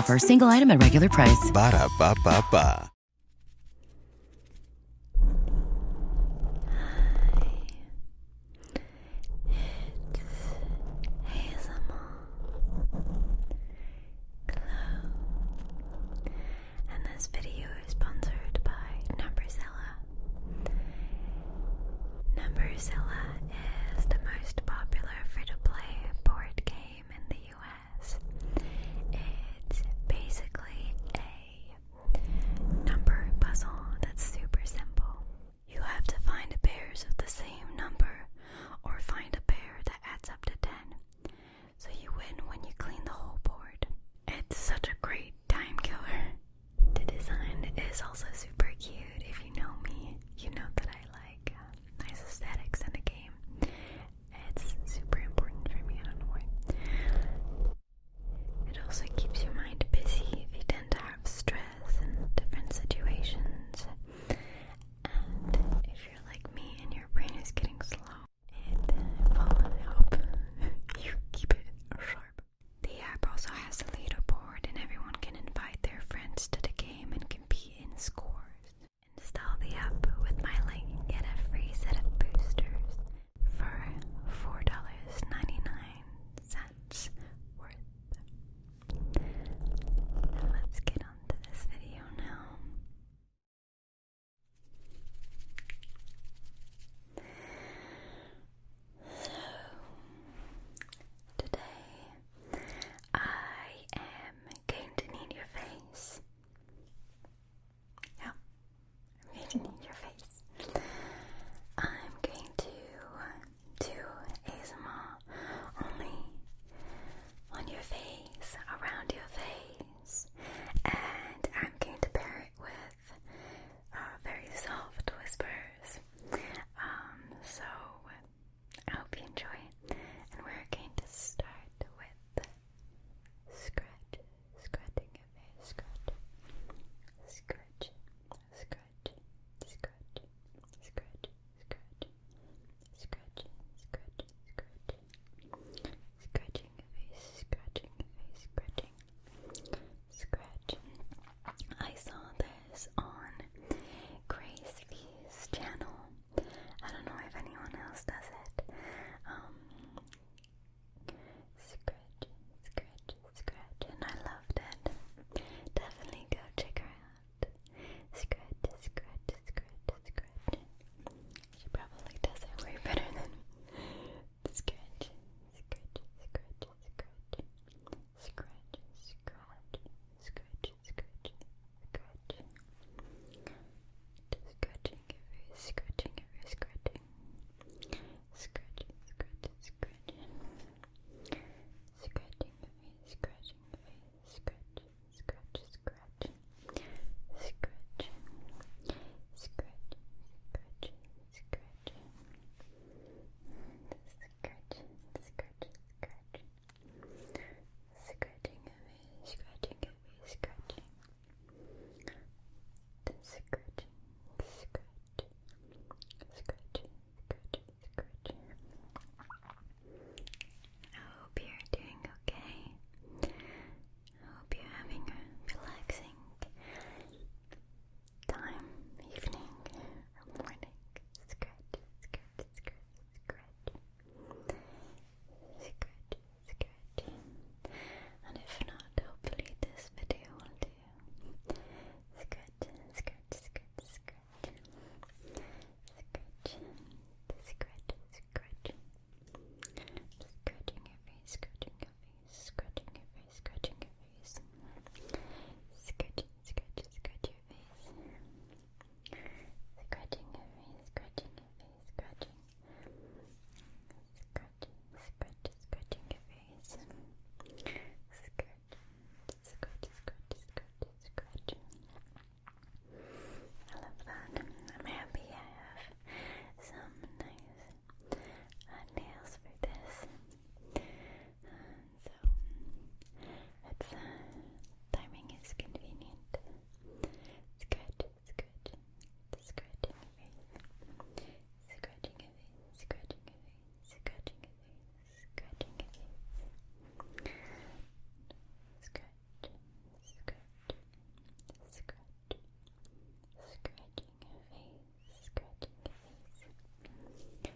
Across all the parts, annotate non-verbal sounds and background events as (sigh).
offer, single item at regular price. Ba da ba ba It's ASMR Glow. And this video is sponsored by Numberzilla. Numberzilla is the most popular popular free-to-play board game in the US. It's basically a number puzzle that's super simple. You have to find pairs of the same number or find a pair that adds up to 10. So you win when you clean the whole board. It's such a great time killer. The design is also super cute. If you know me, you know that I like uh, nice aesthetics in a game. It's super important for me, I don't It also keeps your mind busy if you tend to have stress in different situations. And if you're like me and your brain is getting slow, it will help (laughs) you keep it sharp. The app also has a leaderboard, and everyone can invite their friends to the game and compete in scores. Install the app with my link. Get a free set of boosters for $4.99 worth. Now let's get on to this video now. So, today I am going to need your face. Yeah, I'm going to need your face. I'm going to do ASMR only on your face, around your face, and I'm going to pair it with uh, very soft whispers. Um, so I hope you enjoy. And we're going to start with scratch, scratching of hair, scratch, scratch, scratch, scratch, scratch, scratch, scratch, scratch, scratch, scratching of face, scratching of face, scratching, scratch. I saw this on Grace V's channel. I don't know if anyone else does it. Um, scratch, scratch, scratch, and I loved it. Definitely go check her out. Scratch, scratch, scratch, scratch. She probably does it way better than me. (laughs) Scratch, scratch, scratch, scratch. Scratch, scratch, scratch, scratch, scratch. Scratching, every scratching, every scratching. Scratch, scratch, scratch. Scratching, every scratching, every scratch, scratch, scratch. Scratch, scratch, scratch, scratch. Scratch, scratch, scratch, scratch. Scratching away, scratching away, scratching. Scratching, scratch. Scratching, scratch, scratch. I hope you're doing okay. I hope you're having a relaxing time, evening, morning. Scratch, scratch, scratch, scratch, scratch, scratch, scratch. And if not, hopefully this video will do. Scratch, scratch, scratch, scratch, scratch, scratch, scratch. Scratching your face, scratching your face, scratching your face, scratching your face. Scratch, scratch, scratch your face. Scratching your face, scratching your face, scratching. Scratching, scratch, scratching your face. Scratch, scratch, scratch, scratch, scratch. I love that. I'm happy I have some nice uh, nails for this. Uh, so it's uh, timing is convenient. Scratch, scratch, scratching away, scratching away, scratching away, scratching away, scratching away. Scratch, scratch, scratch, scratching a face, scratching a face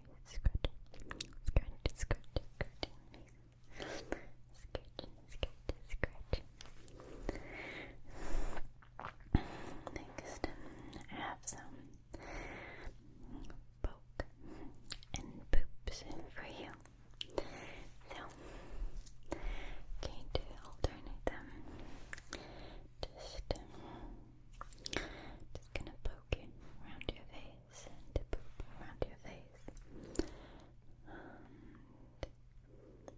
skirt, skirt, skirt, skirt, skirt, skirt, skirt. Next, I um, have some poke and poops for you. So, going to alternate them. Just, um, just gonna poke it around your face send a poop around your face and poke, poke, poke,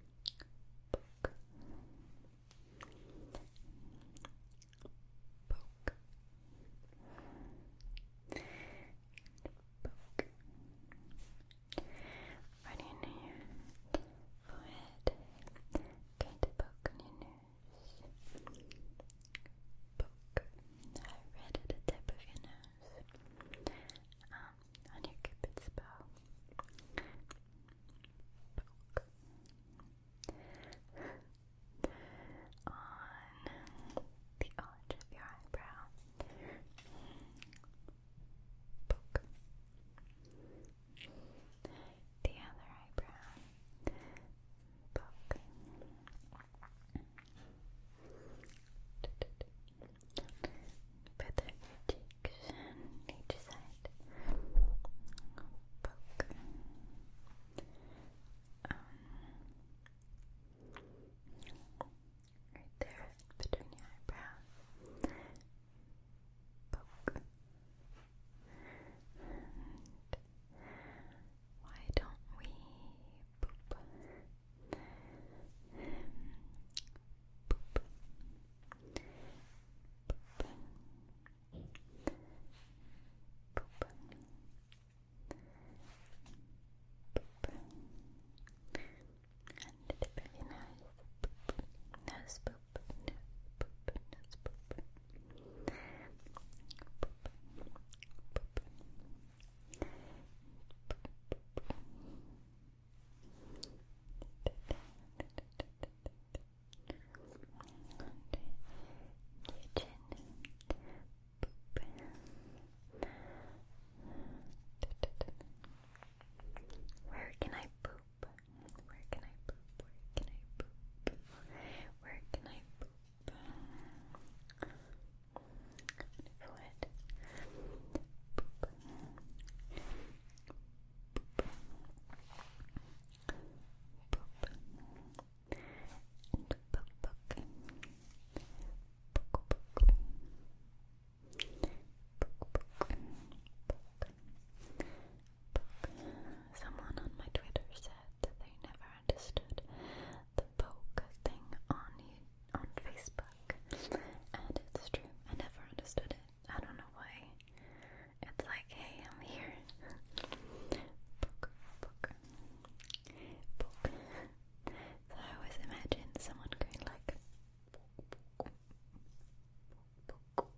right in your forehead, kind of poke on your nose. Poke. Right at the tip of your Um, on your cupid's bow. on the arch of your eyebrow. Poke. The other eyebrow book. Feather your cheeks on each right there between your eyebrows. Poke. Why don't we poop? Poop. Poop. Poop. Poop. And it's very Nose poop. poop. Nose poop. Where can I poop? Where can I poop? Where can I poop? Where can I poop? forehead. And Someone on my Twitter said they never understood the poke thing on on Facebook, and it's true. I never understood it. I don't know why. It's like, hey, I'm here. poke, poke, poke. So I always imagine someone going like. Poke, poke, poke. Poke, poke.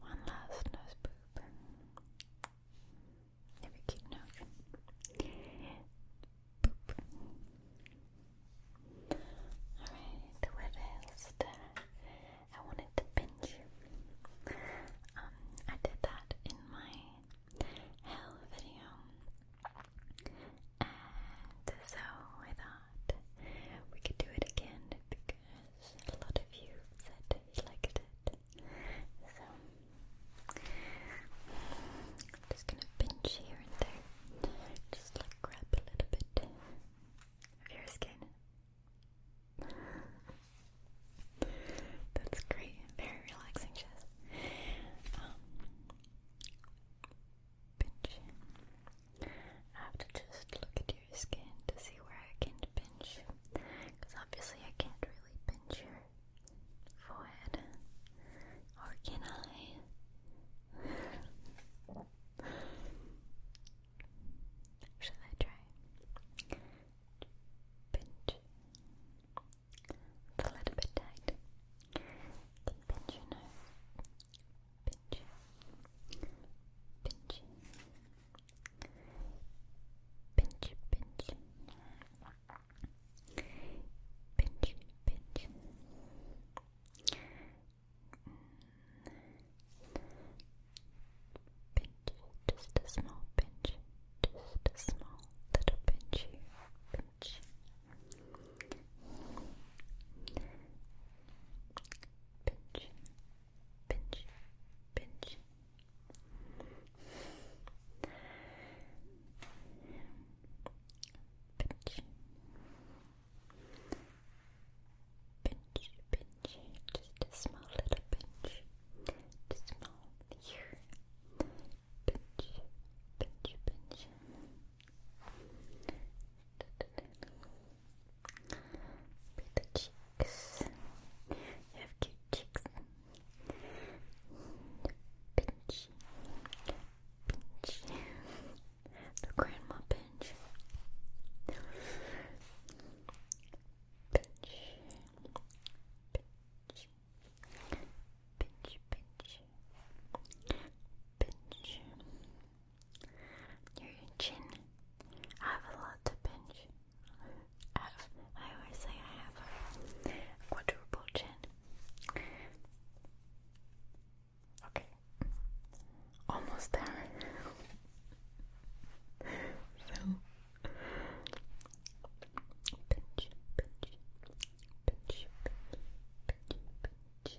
One last nose poop. Boop. Every kid knows. Alright, what else? I wanted to pinch. Um, I did that in my hell video. And so I thought we could do it again because a lot of you said you liked it i just gonna pinch here and there. Just like grab a little bit of your skin. That's great. Very relaxing, Jess. Um, pinch. I have to just look at your skin to see where I can pinch. Because obviously I can't really pinch your forehead, or can I? Should I try? Pinch. It's a little bit tight. Pinch your nose. Pinch. Pinch. Pinch, pinch. Pinch, pinch. just a small pinch, just a small little Pinch, pinch, pinch, pinch, Pinch. Pinch, pinch, just a small little pinch. Just small here. Pinch, pinch, pinch. Be the cheeks. You have cute cheeks. Pinch. Pinch. The grandma pinch. Pinch. Pinch. Pinch, pinch, pinch. Your chin. I have a lot to pinch. I, have, I always say I have a quadruple chin. Okay. Almost there. so pinch, pinch, pinch, pinch, pinch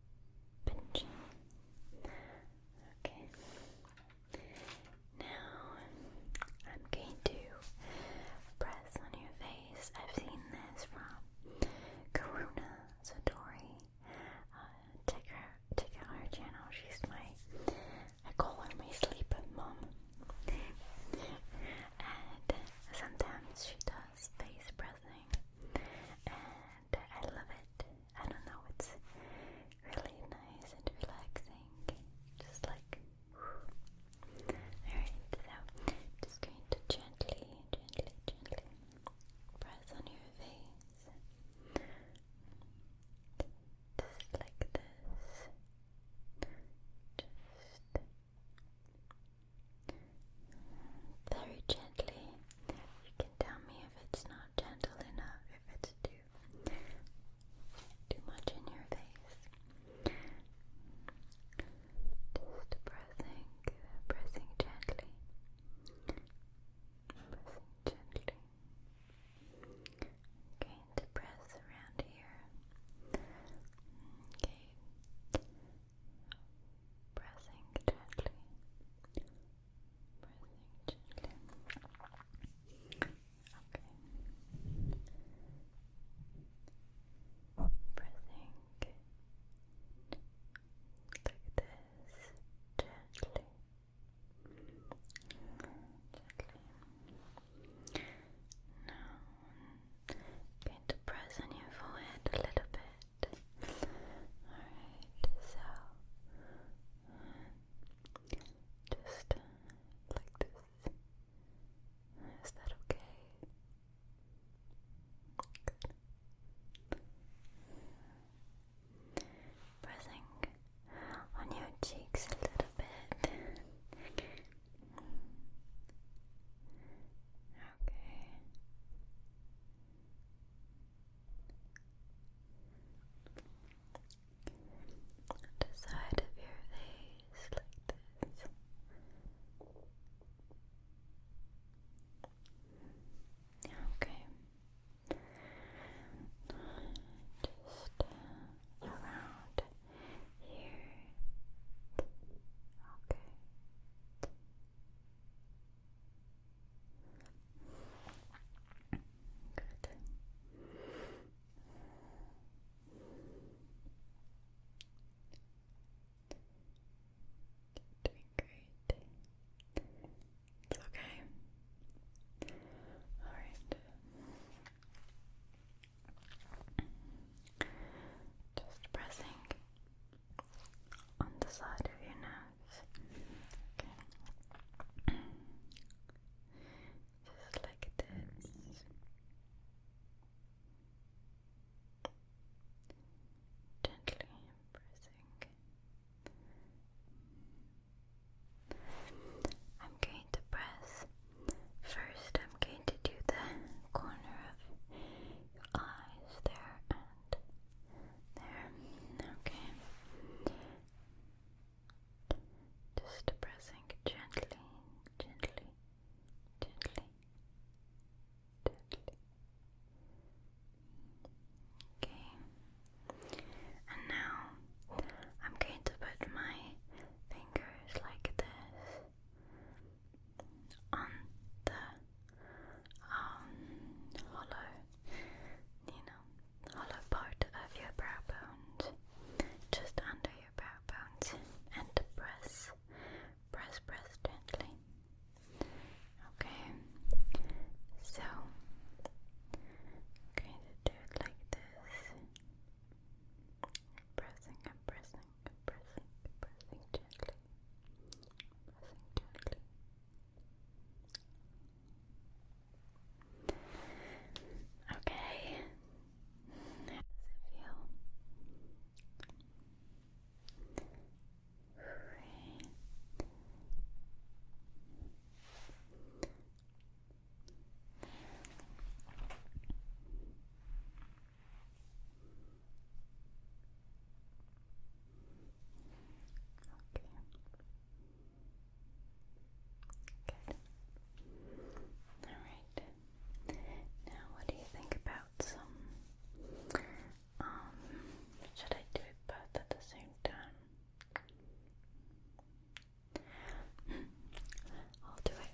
Okay. Now I'm going to press on your face. I've seen this from Karuna Satori. Uh, her, check her channel. She's my, I call her my sleep mom. and sometimes she does face press and I love it. I don't know, it's really nice and relaxing, just like. Alright, so just going to gently, gently, gently press on your face. Just like this. Just very gently. You can tell me if it's not gentle enough, if it's too too much in your face. Just pressing, pressing gently. Pressing gently. I'm press around here. Okay pressing gently, pressing gently. Okay, pressing like this gently. Gently. Now, i going to press on your forehead a little bit. Alright, so just like this. Is that okay? Pressing on your cheeks a little bit. Okay. The side of your face like this. Okay. Just uh, around here. Okay. Good. Doing great. It's okay. All right. Just pressing on the side of your nose. Just like this. Gently pressing. I'm going to press. First, I'm going to do the corner of eyes there and there. Okay. Just pressing gently, gently, gently, gently. Okay. And now I'm going to put my fingers like this on the um, hollow, you know, hollow part of your brow bones, just under your brow bones, and press, press, press gently. Okay, so I'm do it like this, pressing and pressing pressing, pressing gently, pressing gently. Okay, how does it feel? Okay. Good. Alright. Now what do you think about some um, should I do both at the same time? Hmm. I'll do it.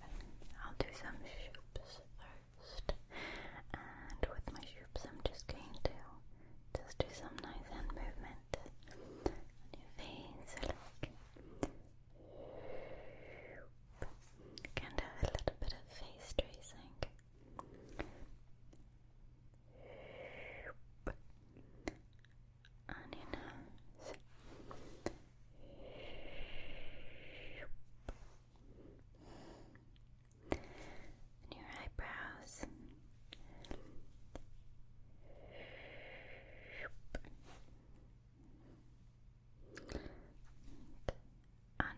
I'll do some shoops first. And with my shoes, I'm just going to just do some nice hand movement on your face. Like, kind of a little bit of face tracing. On and your eyebrows.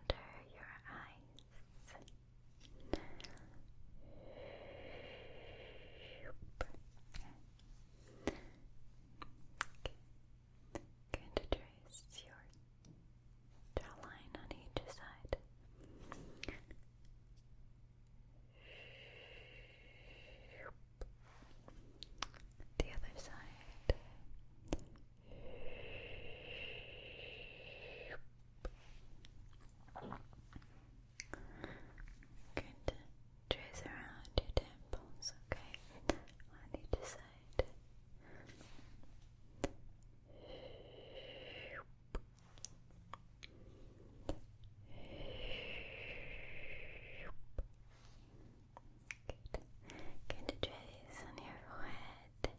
under your eyes. Going to trace your jawline on each side. The other side. Good. Trace around your temples, okay? On each side side. you Good trace on your forehead.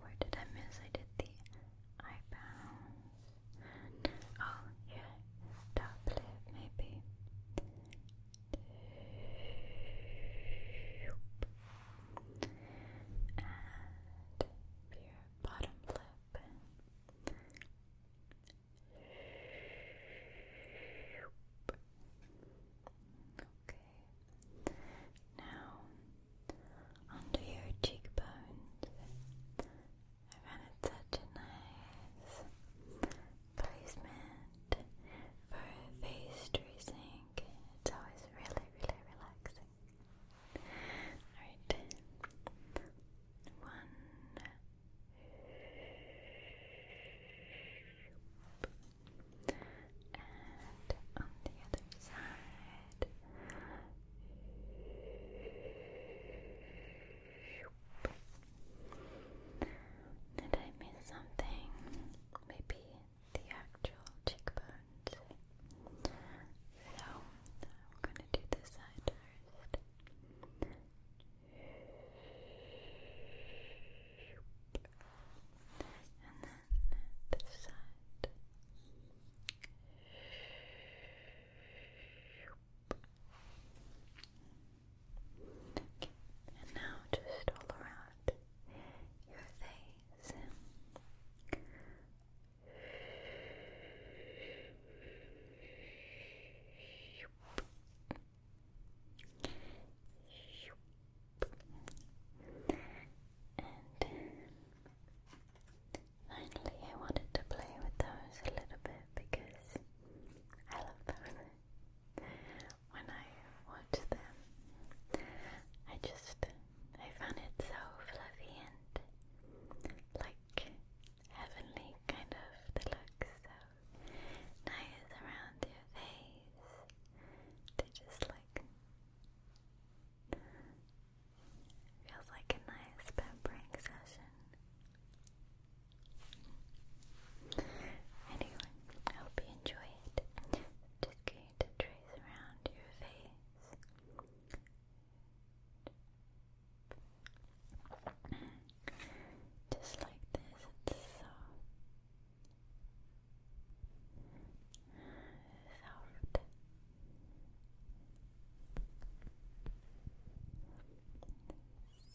Where did I miss? I did the eyebrows. Oh, yeah, top lip, maybe. And bottom lip. Okay. Now, under your cheekbones, I found such a nice placement for face tracing. It's always really, really relaxing. Alright. One and on the other side. Did I miss something? Maybe the actual cheekbones. So I'm gonna do this side first. And then this side. And now just all around your face finally, I wanted to play with those a little bit because I love those. When I watch them, I just I found it so fluffy and like heavenly kind of the looks. So nice around your face to just like feels like a nice pampering session. Anyway, I hope you enjoy it. Just going to trace around your face. Just like this, it's so soft.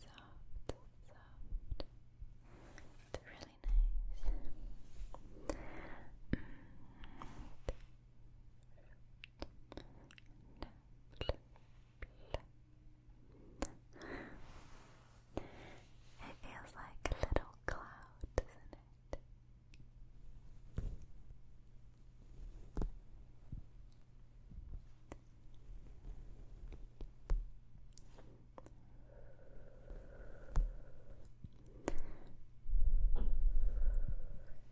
Soft, soft. It's really nice. Mm. It feels like a little cloud, doesn't it?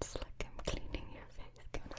It's like I'm cleaning your face, come on.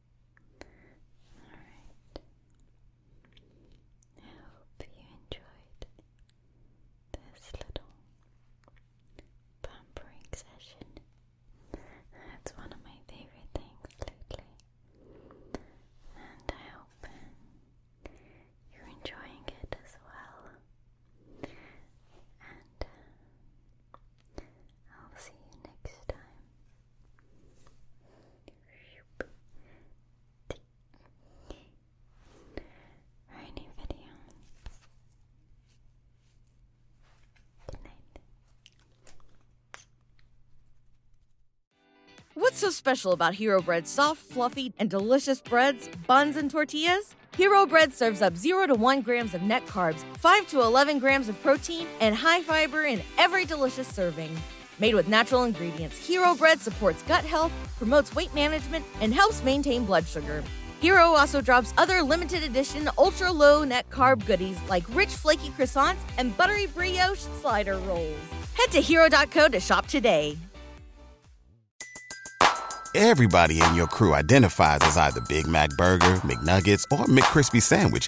Alright. I hope you enjoyed this little pampering session. It's one of my favorite things lately. And I hope you're enjoying it as well. And uh, I'll see you next time. For new video. Good night. What's so special about Hero Bread? soft, fluffy, and delicious breads, buns, and tortillas? Hero Bread serves up 0 to 1 grams of net carbs 5 to 11 grams of protein and high fiber in every delicious serving. Made with natural ingredients, Hero Bread supports gut health, promotes weight management, and helps maintain blood sugar. Hero also drops other limited edition ultra low net carb goodies like rich flaky croissants and buttery brioche slider rolls. Head to hero.co to shop today. Everybody in your crew identifies as either Big Mac burger, McNuggets, or McKrispy sandwich